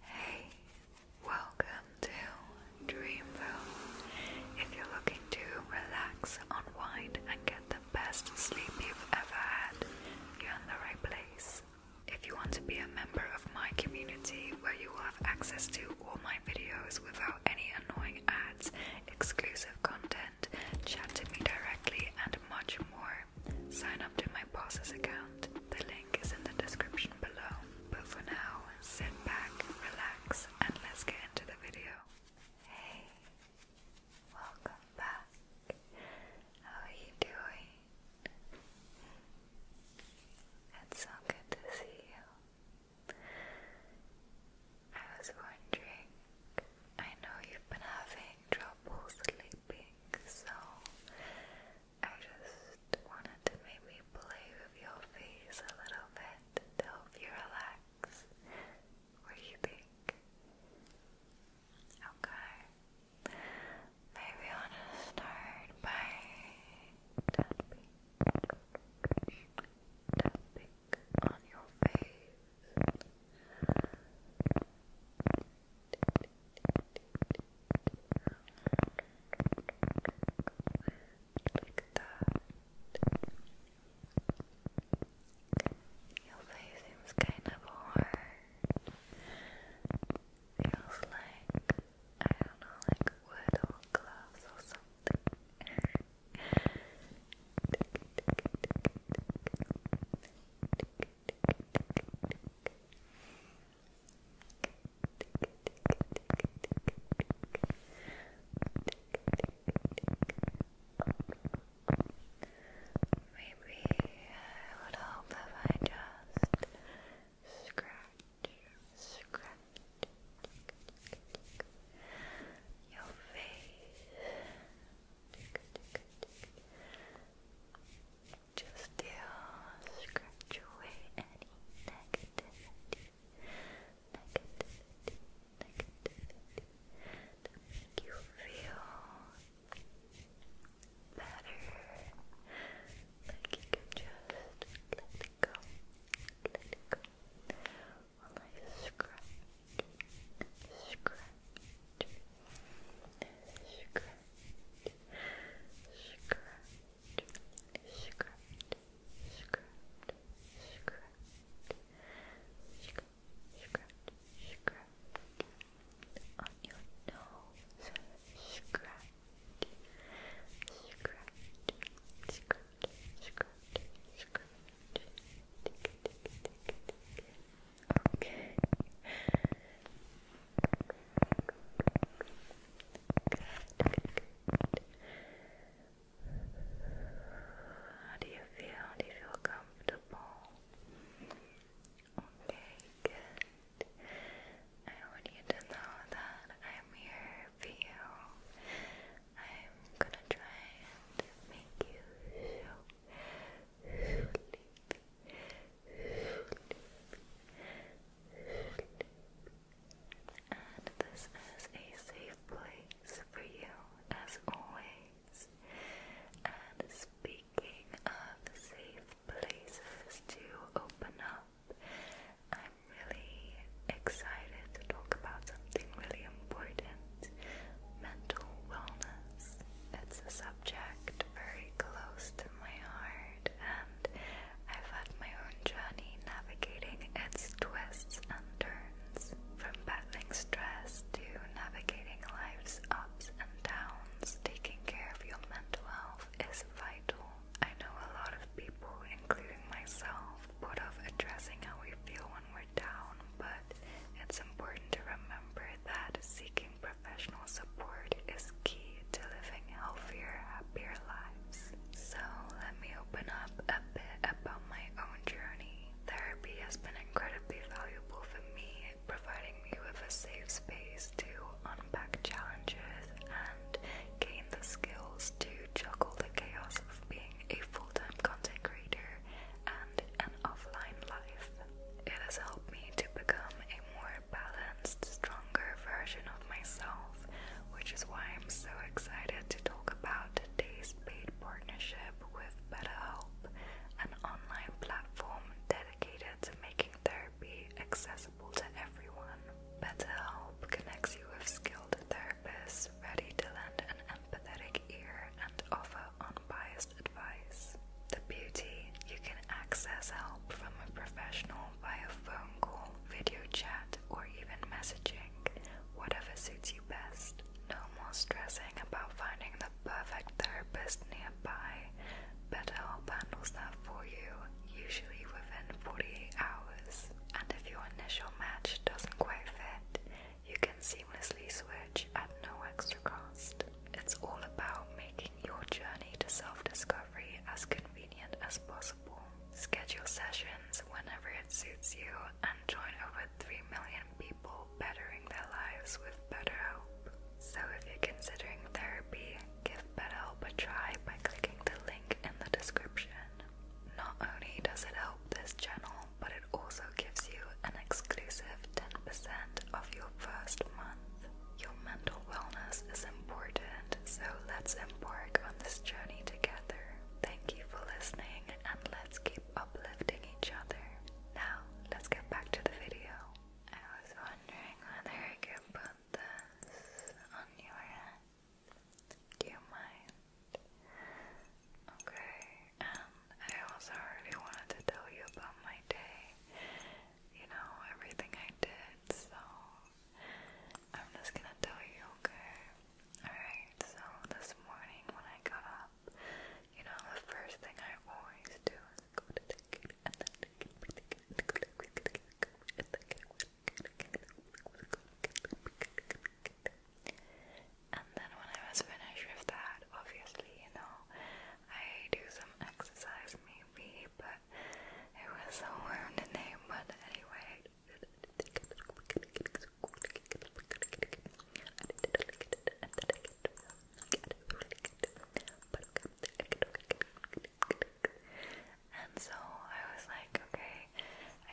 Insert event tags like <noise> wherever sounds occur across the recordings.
Hey, welcome to Dreamville. If you're looking to relax, unwind, and get the best sleep you've ever had, you're in the right place. If you want to be a member of my community where you will have access to all my videos without any annoying ads, exclusive content, chat to me directly, and much more, sign up to my boss's account. The link is in the description below. But for now, sit back, relax, and let's get into the video. Hey, welcome back. How are you doing? It's so good to see you. I was wondering, I know you've been having trouble sleeping, so I just wanted to make me play with your face a little bit to you relax. What you think? Okay. Maybe I want to start by tapping, tapping on your face. Like that. Your face seems kind of hard. Feels like I don't know, like wood or glass or something. Maybe I would hope if I just scratch, scratch your face just to scratch away any negativity, negativity, negativity you feel better. Like you can just let it go, let it go. While I scratch, scratch. Scratch, Scratch, scratch, scratch, scratch, scratch, scratch on your nose. Scratch, scratch, scratch, scratch, scratch. Tick, tick, tick, tick. Okay. do you feel? Do you feel comfortable? Okay, I want you to know that I'm here for you. I'm gonna try and make you so and this is a safe place for you as always. And speaking of safe places to open up, I'm really excited to talk about something really important mental wellness. It's a subject very close to my heart, and I've had my own journey navigating its twists and turns. From battling stress to navigating life's ups and downs, taking care of your mental health is vital. I know a lot of people, including myself, put off addressing how we feel when we're down, but it's important to remember that seeking professional support is key to living healthier, happier lives. So, let me open up a bit about my own journey. Therapy has been incredibly valuable for me, providing me with a safe space to unpack challenges and gain the skills to juggle the chaos of being a full time content creator and an offline life. It has helped me to become a more balanced, stronger version of myself, which is why I'm so excited to talk about today's paid partnership with BetterHelp, an online platform dedicated to making therapy accessible to everyone. BetterHelp connects you with skilled therapists ready to lend an empathetic ear and offer unbiased advice. The beauty, you can access help from a professional via phone call, video chat, or even messaging, whatever suits you best. No more stressing about finding the perfect therapist nearby. BetterHelp handles that for you, usually within 48 hours. And if your initial match doesn't quite fit, you can seamlessly switch at no extra cost. It's all about making your journey to self discovery as convenient as possible. Schedule sessions whenever it suits you and join over 3 million people bettering their lives with BetterHelp. So, if you're considering therapy, give BetterHelp a try by clicking the link in the description. Not only does it help this channel, but it also gives you an exclusive 10% of your first month. Your mental wellness is important, so let's embark on this journey together. Thank you for listening and let's keep uplifting each other. Now, let's get back to the video. I was wondering whether I could put this on your hand. Do you mind? Okay and I also already wanted to tell you about my day, you know, everything I did, so I'm just gonna tell you, okay? Alright, so this morning when I got up, you know, the first thing I always do is go to the kitty and then when I was finished with that, obviously, you know. I do some exercise maybe, but it was so warm today, but anyway. And so I was like, okay,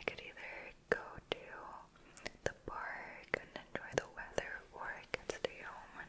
I could either go to the park and enjoy the weather or I could stay home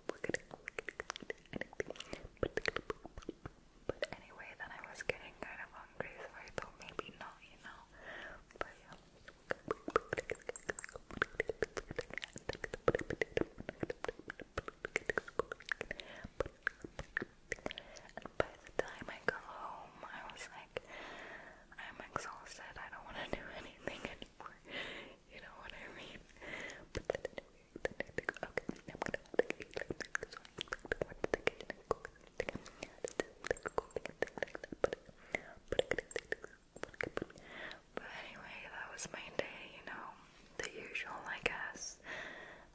But anyway, then I was getting kind of hungry, so I thought maybe not, you know. But by the time I got home, I was like, I'm exhausted. I don't want to do anything anymore. You know what I mean? But anyway, that the was my day, you know, the usual, I guess.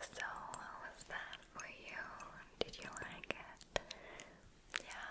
So, how was that for you? Did you like it? Yeah,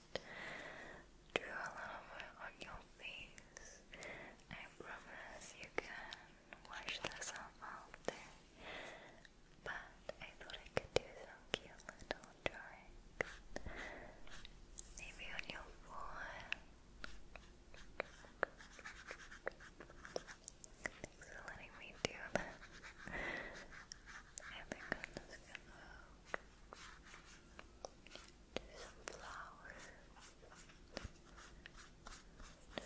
Draw a lover on your face. I promise you can wash this off But I thought I could do some cute little drawings. Maybe on your forehead. Thanks for letting me do that. I think I'm do some flowers.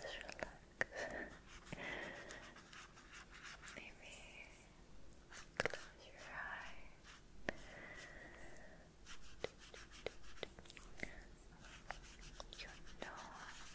Just relax. Maybe close your eye. Your nose.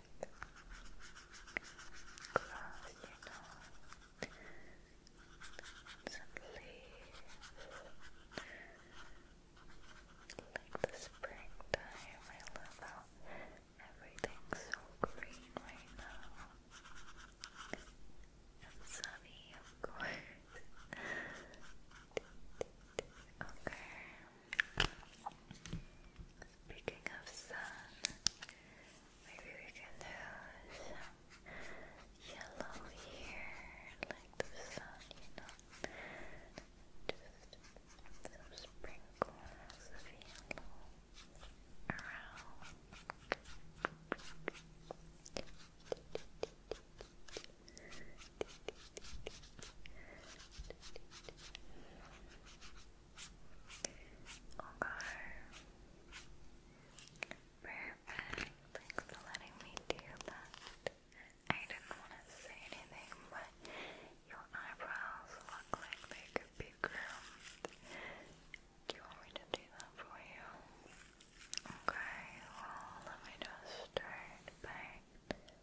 grass, you know, Like the springtime, I love how everything's so green right now. And sunny, of course. <laughs> okay, Speaking of sun, maybe we can do yellow here, like the sun, you know. Just some sprinkles of yellow around. Okay. Perfect. Thanks for letting me do that. I didn't want to say anything, but your eyebrows look like they could be groomed. Do you want me to do that for you? Okay, well, let me just start by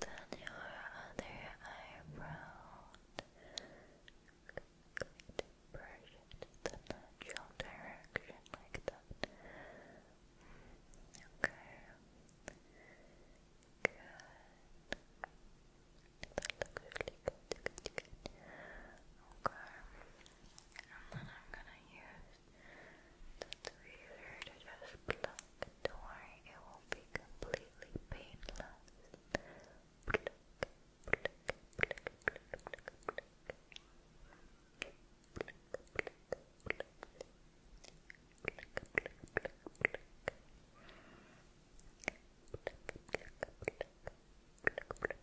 then your other eyebrow going to the natural direction like that okay good that looks really good okay and then I'm gonna use that's easier just pluck. Don't worry, it will be completely painless. Pluck, pluck, pluck, pluck, pluck, pluck. Pluck, pluck, pluck. Pluck, pluck, pluck, pluck. Pluck, pluck, pluck, pluck, pluck.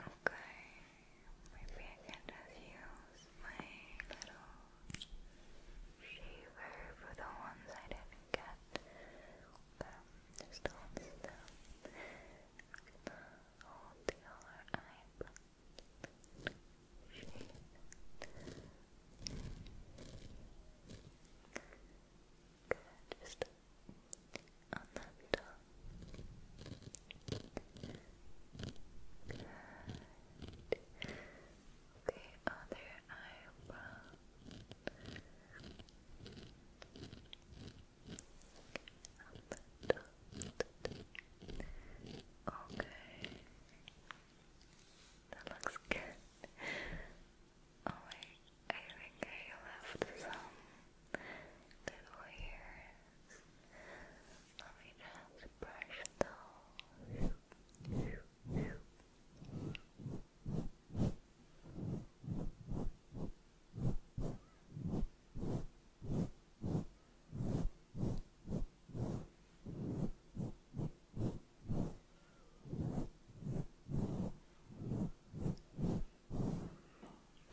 Okay, Maybe I can just use my little shaver for the ones I didn't get. Um, just hold still. the other eyebrow. Shave Good, just on that top. Good. Okay, other eyebrow. Okay. That looks good. <laughs> Oh wait, I think I left some little hairs. Let me just brush those.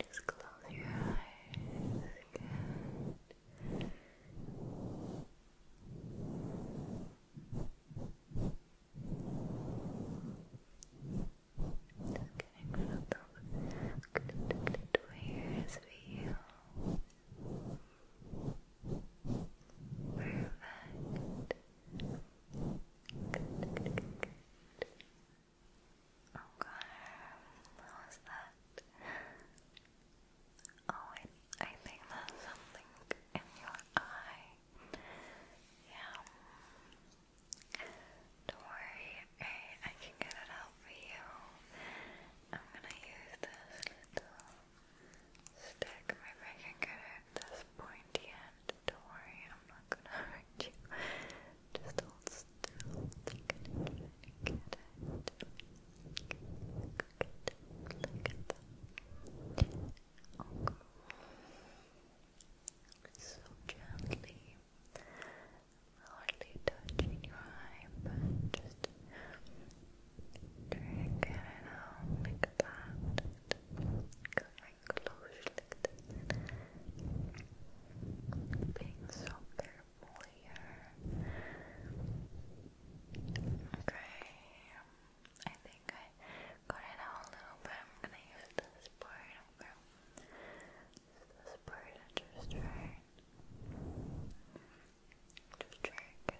Just close your eyes. Just getting rid you. Perfect. Good, Okay, how was that? Oh, wait, I think there's something in your eye. Yeah. Don't worry, hey, I can get it out for you. I'm gonna use this little stick. Maybe I can get it this pointy end. Don't worry, I'm not gonna hurt you. Just hold still. They're gonna it. Look at them. Look at them. So gently, hardly touching your eye, but just drag it out like that. Coming close like that. Being so very earlier. Okay, I think I got it out a little bit. I'm gonna use this part. i this part just try just try it.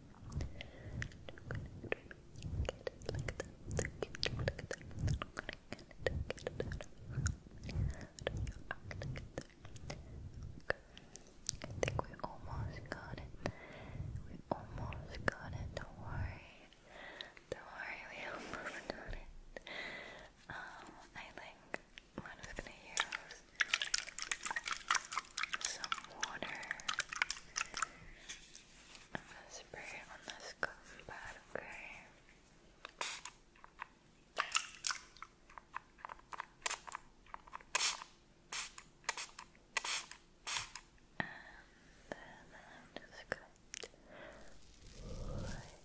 I think we almost got it. We almost got it. Don't worry. Don't worry, we almost got it. Um, I think I'm just gonna use some water. I'm gonna spray it on this cotton pad, okay? And then I'm just going to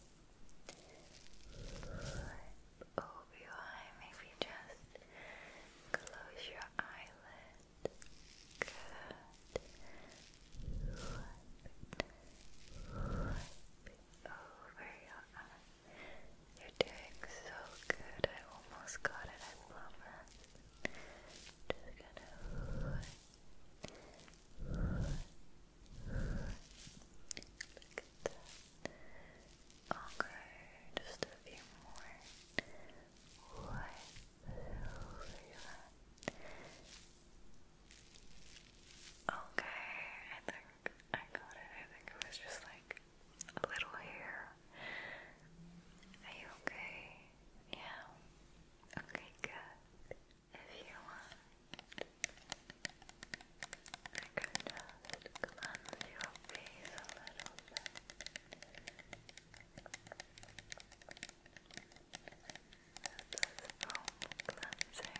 over your eye. Maybe just close your eyelid. Good. over your eye. You're doing so good. I almost got it. I promise. Just gonna i just a few more right Okay, I think I got it. I think it was just like a little hair. Are you okay? Yeah. Okay, good. If you want, I can just glance your face a little bit. This is foam cleanser.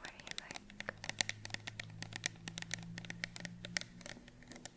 What do you like? Okay. Let's do it.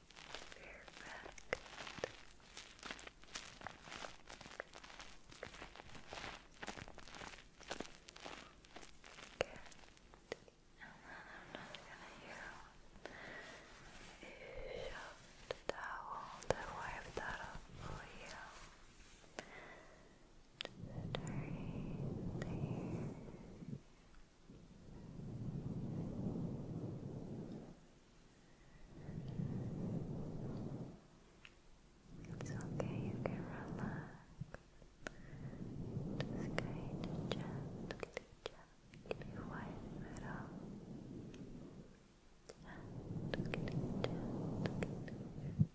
Perfect. Good. And I'm just gonna use a towel to wipe that up for you. Just it's okay, you can relax. Just kind of gently, gently wipe it off. Gently, gently. Gentle, gentle.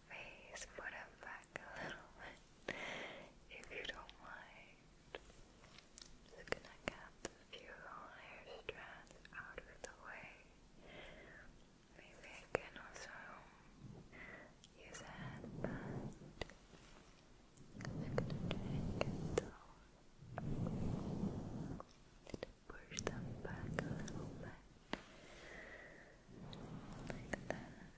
face, put it back a little if you don't mind. just gonna get a few hair strands out of the way. Maybe I can also use a headband. I'm gonna try and get push them back a little bit. Like that.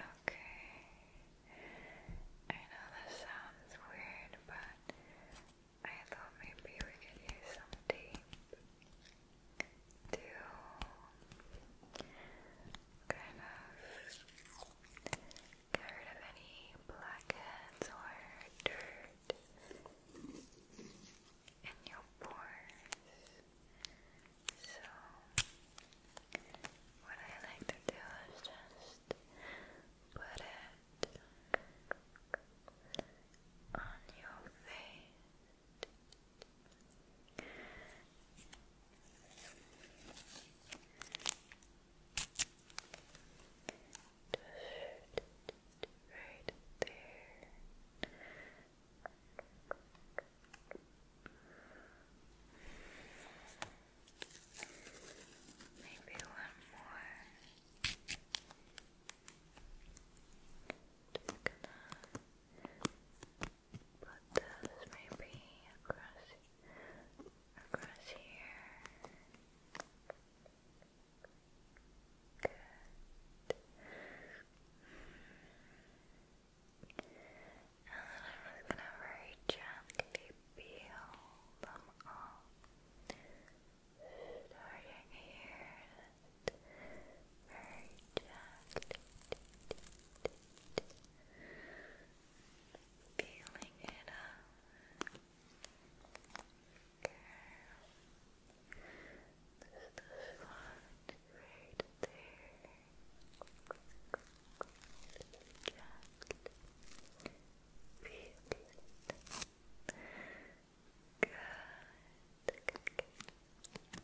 Okay. I know that sounds weird, but I thought maybe we could use some tea to kind of get rid of any blackheads or dirt in your pores. So, what I like to do is just put it on your face. Right there. Maybe one more. Just gonna Put this maybe across, across here. And then I'm gonna very gently peel them off. Starting here, that very gently. Feeling it up. Okay. the right there. Just feel it. good. That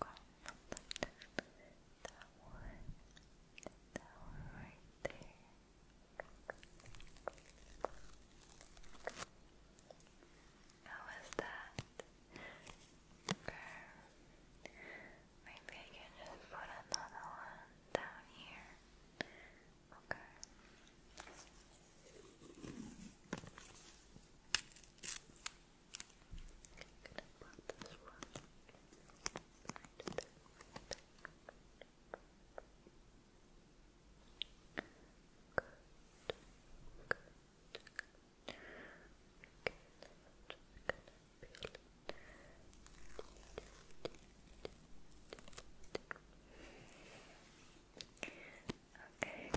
one, that one right there. How was that? Okay. Maybe I can just put another one down here. Okay gonna pop this one right there. Good, good, good. Okay, I'm just gonna peel it. Okay.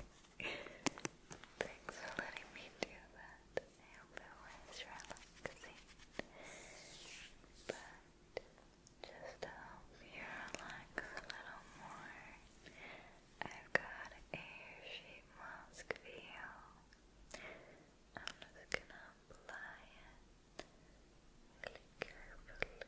Thanks for letting me do that. I hope it was relaxing. But just to help you relax a little more, I've got a sheet mask video. I'm just gonna apply it. Click carefully.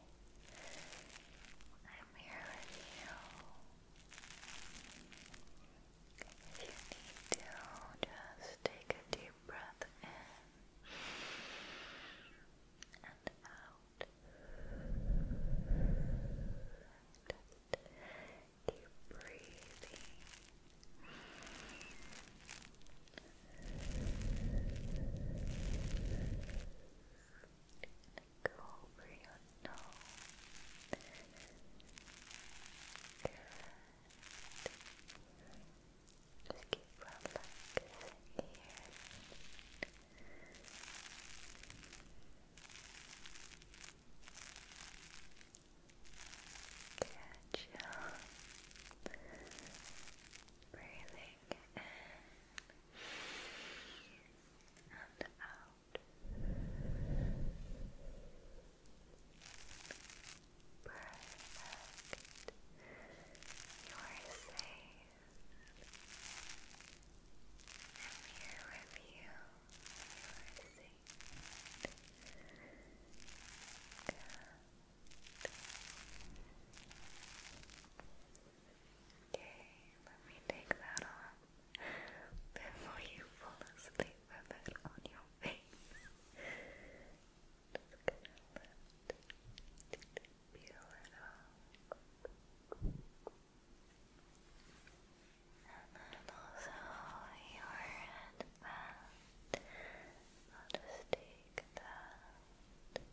I'm here with you. If you need to, just take a deep breath in and out. Just keep breathing go over your nose. Just keep relaxing here. Catch up. Breathing in and out. Perfect. You are safe. I'm here with you. You are safe. Good. Okay, let me take that off before you fall asleep with on your face. Just gonna let it peel it off. And then also your headband. I'll just take that I can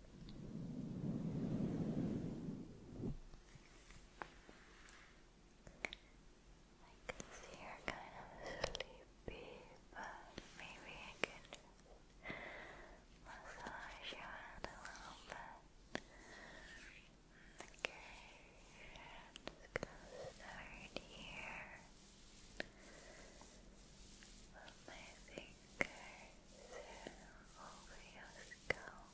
you kind of sleepy, but maybe I can massage your head a little bit. Okay, here. With fingers over your skull.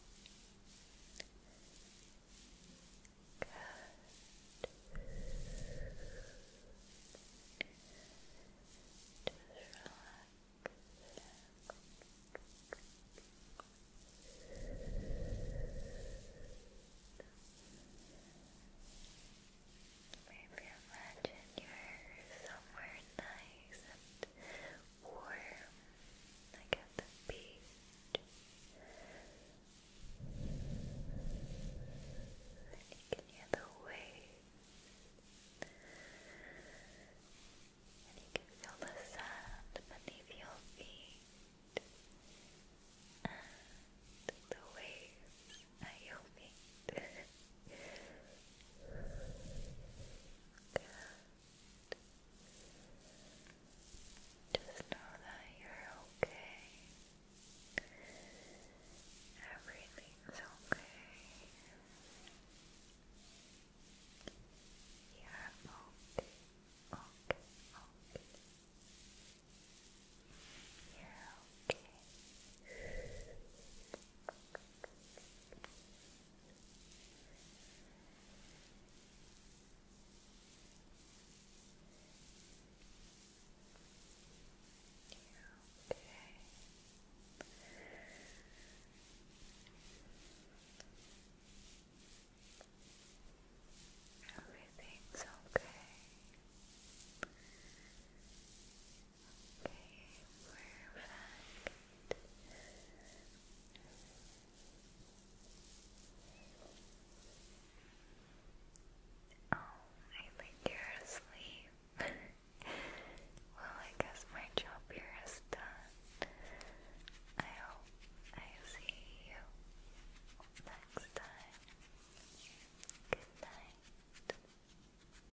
Just relax. Maybe imagine you're somewhere nice nice warm, like at the beach. you can hear the waves, and you can feel the sand beneath your feet, and the waves at your feet. <laughs> Good. Just know that you're okay. Everything's okay. You're okay, okay, okay. You're okay. Everything's okay. Oh, I think you're asleep. well, I guess my job here is done. I hope I see you next time. Good night.